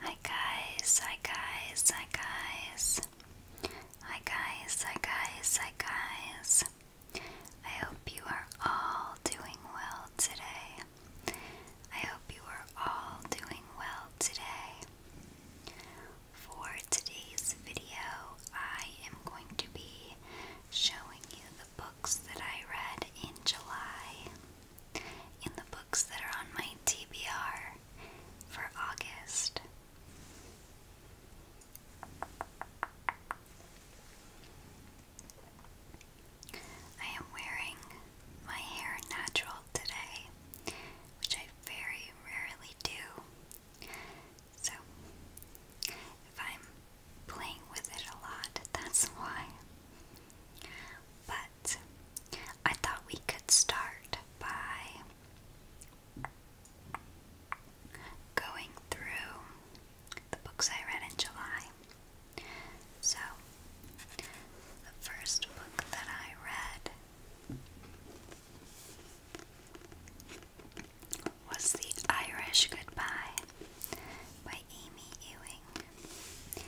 Hi guys, hi guys, hi guys. Hi guys, hi guys, hi guys. I hope you are all doing well today. I hope you are all doing well today. For today's video, I am going to be showing you the books that I read in July. In the books that are on my TBR for August. I am wearing my hair natural today, which I very rarely do. So, if I'm playing with it a lot, that's why. But I thought we could start by going through the books I read in July. So, the first book that I read was The Irish Goodbye by Amy Ewing.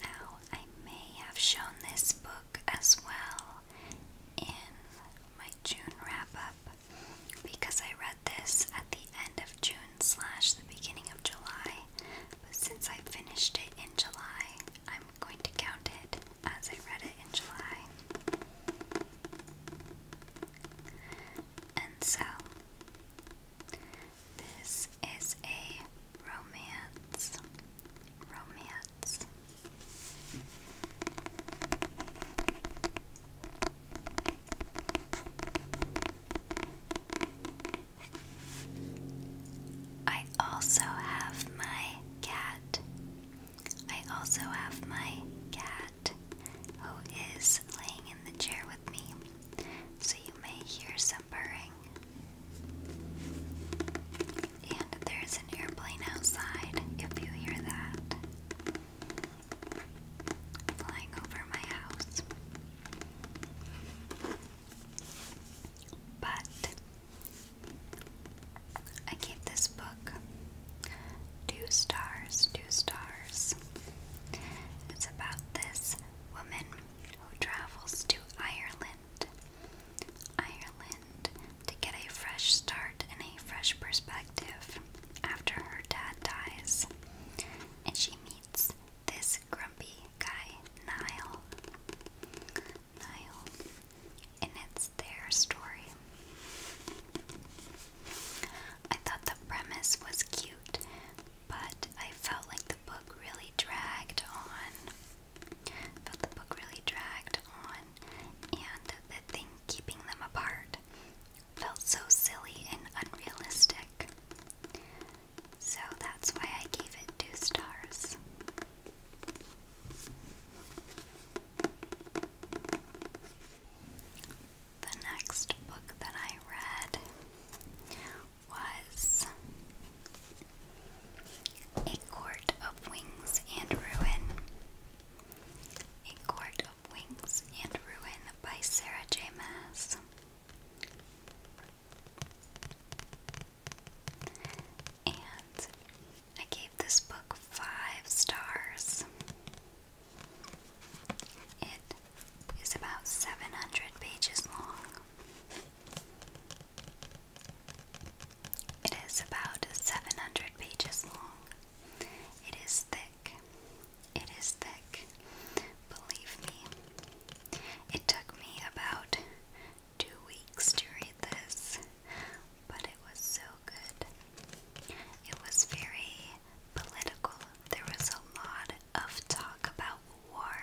Now, I may have shown this book as well in my June wrap up because I read this at the end of June slash the beginning of July. But since I finished it in July, I'm going to count it as I read it in July. And so, this is a romance. Romance. I also have my cat. I also have my cat who is laying in the chair so you may hear some purring. And there's an airplane outside if you hear that flying over my house. But I gave this book two stars, two stars. It's about this woman who travels to Ireland. Ireland to get a fresh start and a fresh perspective after her dad dies. And she meets this grumpy guy, Niall. Niall. And it's their story. I thought the premise was cute, but I felt like the book really dragged on. I felt the book really dragged on, and the thing keeping them apart felt so silly and unrealistic. So that's why I gave it two stars. The next book that I read was A Court of Wings and Ruin. A Court of Wings and Ruin by Sarah J. Maas. And I gave this book five stars. It is about 700 pages long. It is about 700 pages long. It is thick. It is thick. Believe me. It took me about two weeks to read this, but it was so good. It was very political. There was a lot of talk about war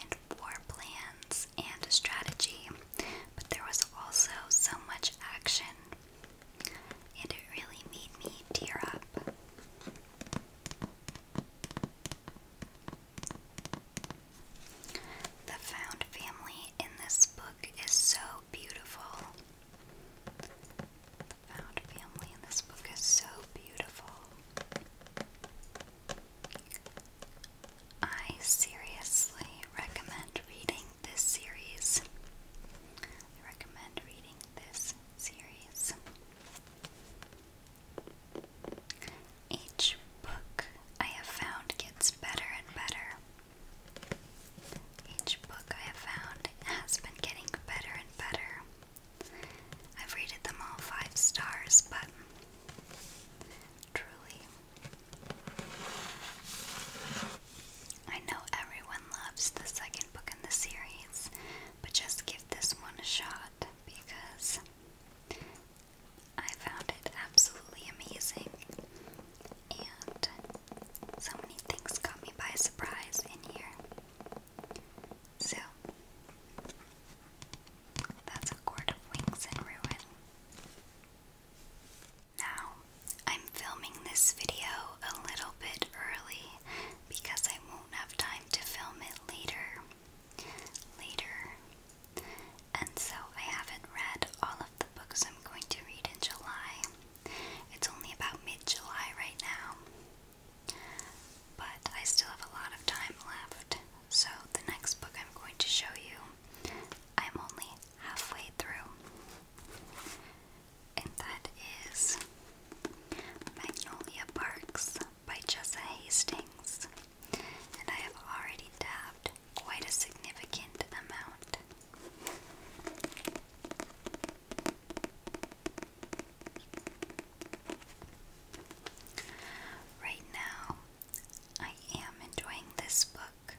and war plans and strategy, but there was also so much action, and it really made me tear up. The found family in this book is so beautiful. Found family, and this book is so beautiful. I seriously recommend reading this series. recommend reading this series. Each book I have found gets better and better. Each book I have found has been getting better and better. I've rated them all five stars, but truly, I know everyone loves the second book in the series, but just give this one a shot because I found it absolutely amazing. And so many things caught me by surprise in here. So, that's a quart of wings in ruin. Now, I'm filming this video a little bit early because I won't have time to film it later. Later. And so I haven't read all of the books I'm going to read in July. It's only about mid July right now. But I still have a lot of time left, so the next book I'm going to show you, I'm only halfway through. And that is Magnolia Parks by Jessa Hastings. And I have already dabbed quite a significant amount. Right now, I am enjoying this book.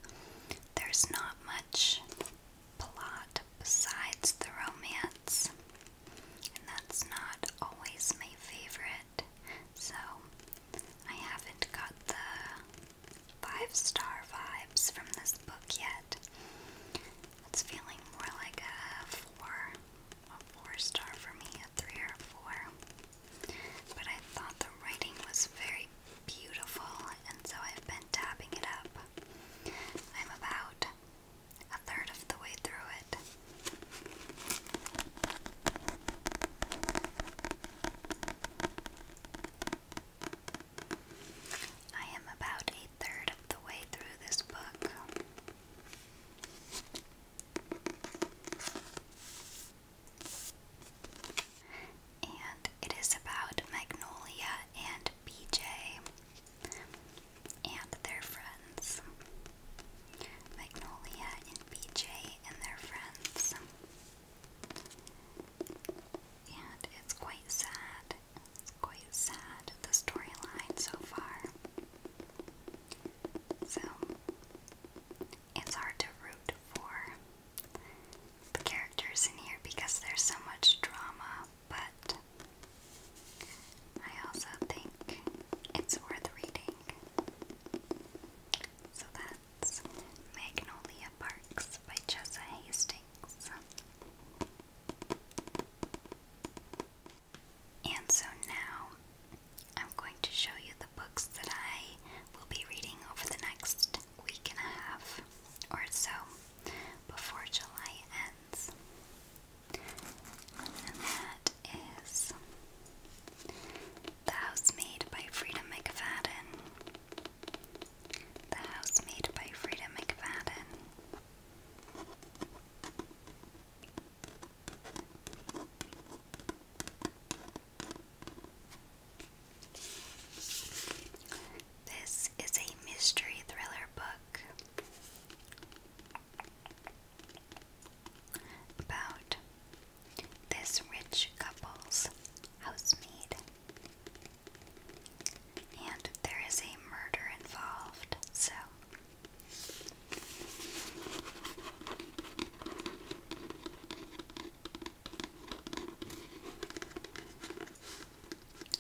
There's not much plot besides the romance, and that's not always my favorite, so I haven't got the five star vibes from this book yet. It's feeling more like a four, a four star for me, a three or four. But I thought the writing was very beautiful, and so I've been tapping it up. I'm about a third of the way through it. I am about a third of the way through this book. And it is about Magnolia and BJ and their friends. Magnolia and BJ and their friends. And it's quite sad. It's quite sad, the storyline so far. So, it's hard to root for the characters in here because there's so much drama, but I also think it's worth reading. So that's Magnolia Parks by Jessa Hastings. And so now I'm going to show you the books that I will be reading over the next week and a half or so before July ends. And that is The Housemaid by Frida McFadden. The Housemaid by Frida McFadden. This is a mystery thriller book about this rich couple's housemaid and there is a murder involved, so.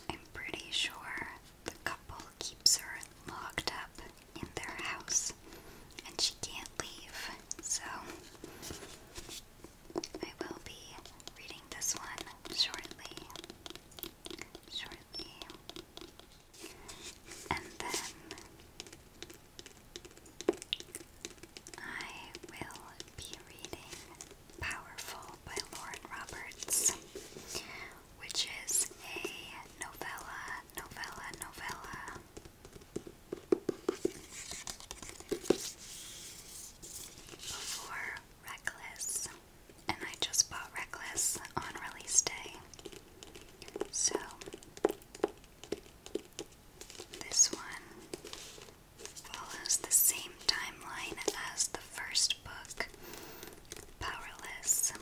I'm pretty sure the couple keeps her locked up in their house and she can't leave, so I will be reading this one shortly shortly. And then I will be reading Powerful by Lauren Roberts, which is a novella, novella, novella. Before Reckless, and I just bought Reckless on release day. So, this one follows the same timeline as the first book, Powerless,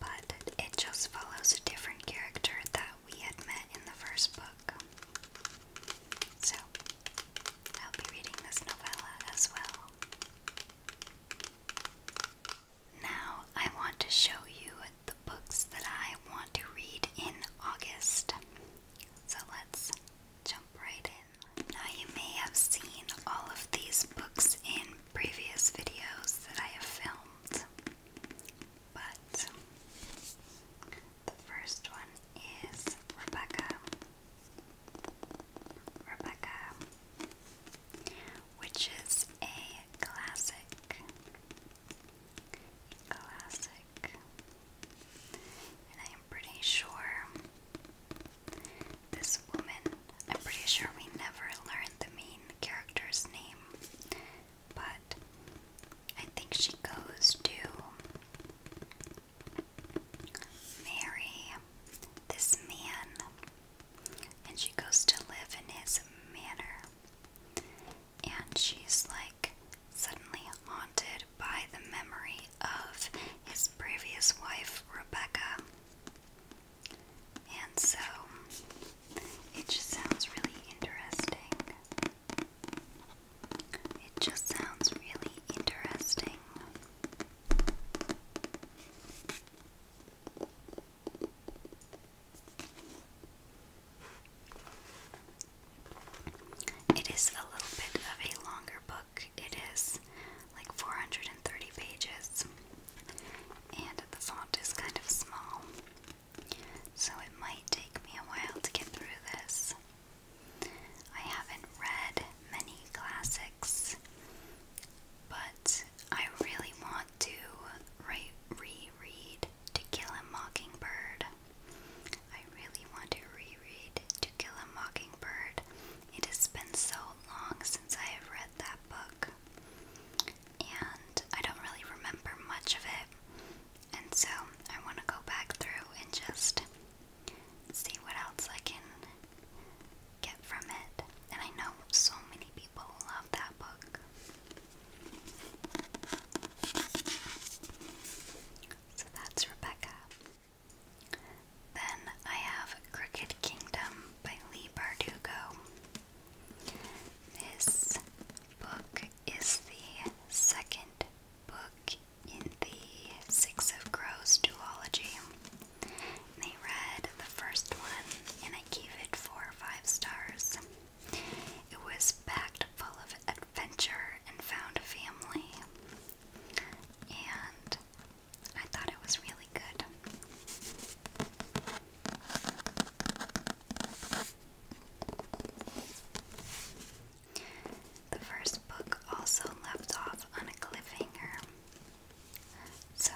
but it just follows a different character that we had met in the first book. So, I'll be reading this novella as well. Now, I want to show you the books that I want to read in August. So, let's jump right in. Now, you may have seen all of these books in previous videos that I have filmed, but the first one is Rebecca. Rebecca, which is a classic. Classic. And I am pretty sure this woman, I'm pretty sure we never learned the main character's name, but I think she goes to marry this man, and she goes to live in his manor. And she's like suddenly haunted by the memory of his previous wife, Rebecca. And so it just sounds really interesting. It just sounds really interesting. It is a little bit of a longer book. It is like 430 pages, and the font is kind of small, so it might take me a while to get through this. I haven't read many classics, but I really want to reread To Kill a Mockingbird. I really want to reread To Kill a Mockingbird. It has been so long since I have read that book, and I don't really remember much of it. And so I want to go back through and just see what else I can get from it. And I know so many people love that book. So that's Rebecca. Then I have Crooked Kingdom by Lee Bardugo. This book is the second book in the Six of Crows duology. they read the first one, and I gave it four or five stars. It was packed full of adventure and found family, and I thought it was really good. The first book also left off on a cliffhanger. So,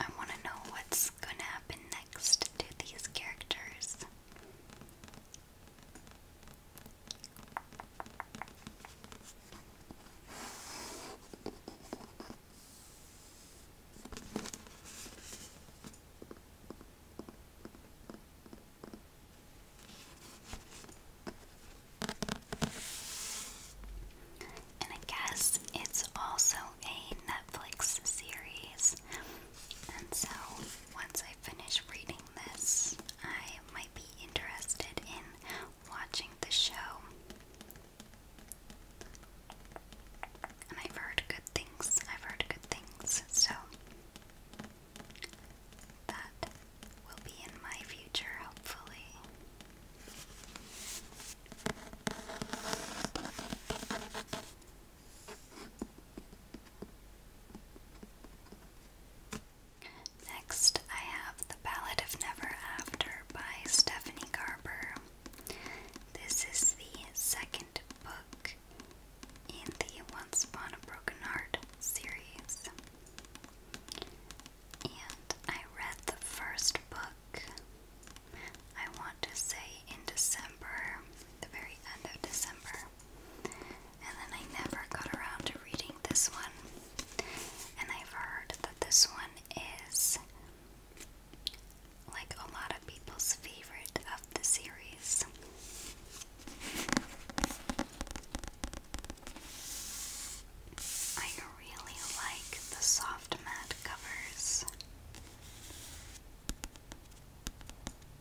I want to know what's going to happen next to these characters. And I guess it's also a Netflix series. And so once I finish reading this, I might be interested in watching the show. And I've heard good things. I've heard good things. So that will be in my future, hopefully. Next, I have The Ballad of Never After by Stephanie Garber. This is the second book in the Once Upon a Broken Heart series. And I read the first book, I want to say in December, the very end of December. And then I never got around to reading this one. And I've heard that this one is like a lot of people's favorite of the series. I really like the soft matte covers.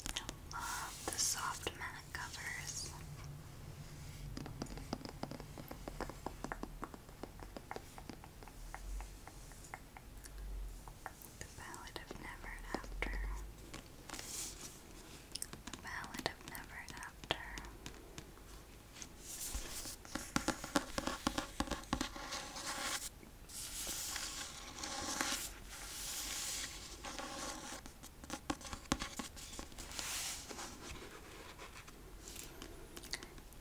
I love the soft matte covers. The Ballad of Never After. The Ballad of Never After.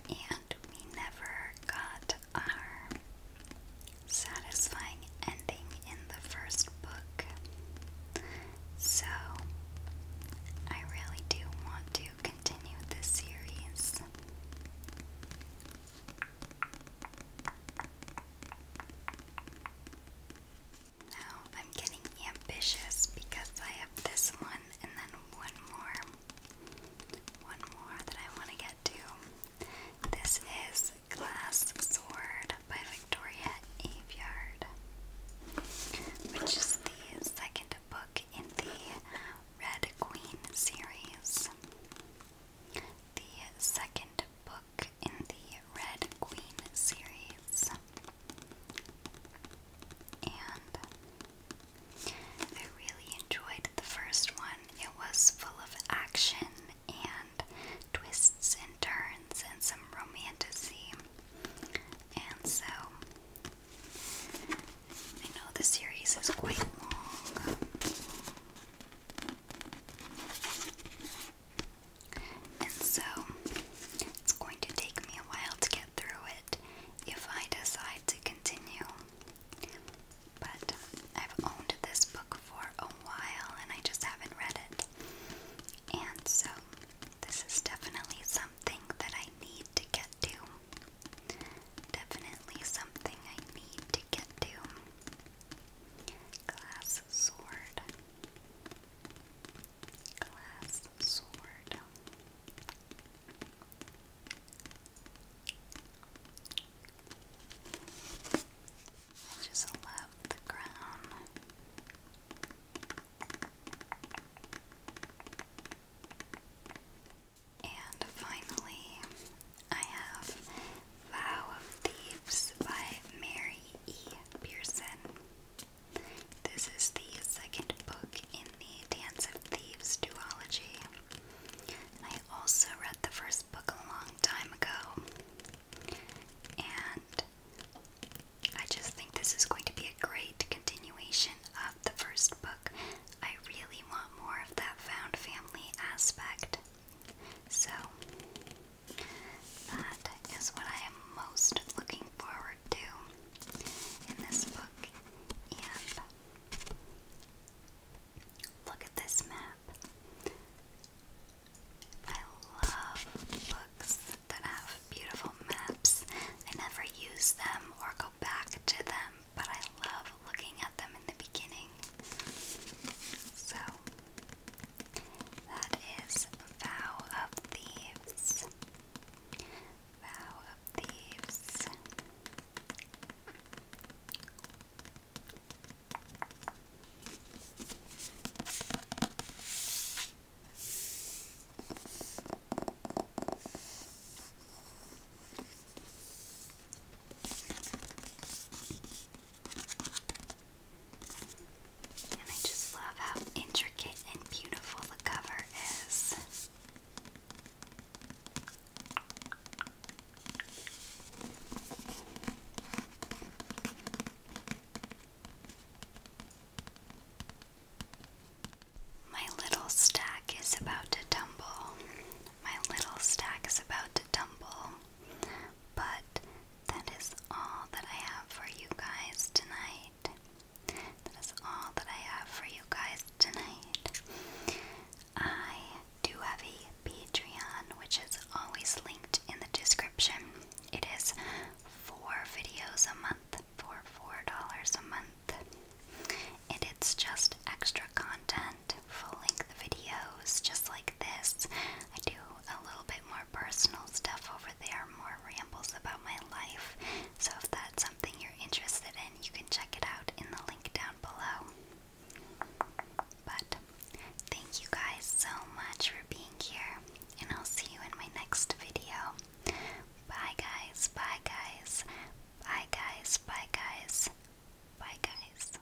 And we never got our satisfying ending in the first book. So, I really do want to continue this series. Now I'm getting ambitious because I have this one and then one more. One more that I want to get to. This is Glass Sword by Victoria Aveyard, which is the second book in the Red Queen series. The second book in the Red Queen series. And I really enjoyed the first one. It was full of action and twists and turns and some romanticy. And so, I know the series is quite long. And so, it's going to take me a while to get through it if I decide to continue. But I've owned this book for a while and I just haven't read it. And so this is definitely something that I need to get to. Definitely something I need to get to. Glass sword. Glass sword. I just love the crown. And finally, I have Vow of Thieves by Mary E. Pearson. This is the second book in the Dance of Thieves duology. I also read the first book a long time ago. And I just think this is going to be a great continuation of the first book. I really want more of that found family aspect. So, that is what I am most looking forward to in this book. And Look at this map. I love books that have beautiful maps. I never use them or go back to them, but I love looking at them in the beginning. So, that is Vow of Thieves. Vow of Thieves. And I just love how intricate and beautiful the cover is. My little stack is about to tumble. My little stack is about to tumble. But that is all that I have for you guys tonight. That is all that I have for you guys tonight. I do have a Patreon, which is always linked in the description. It is four videos a month for $4 a month. And it's just extra content, full length videos, just like this. I do a little bit more personal stuff over there, more rambles about my life. So if that's something you're interested in, you can check it out in the link down below. But thank you guys so much for being here, and I'll see you in my next video. Bye, guys. Bye, guys. Bye, guys. Bye, guys. Bye, guys.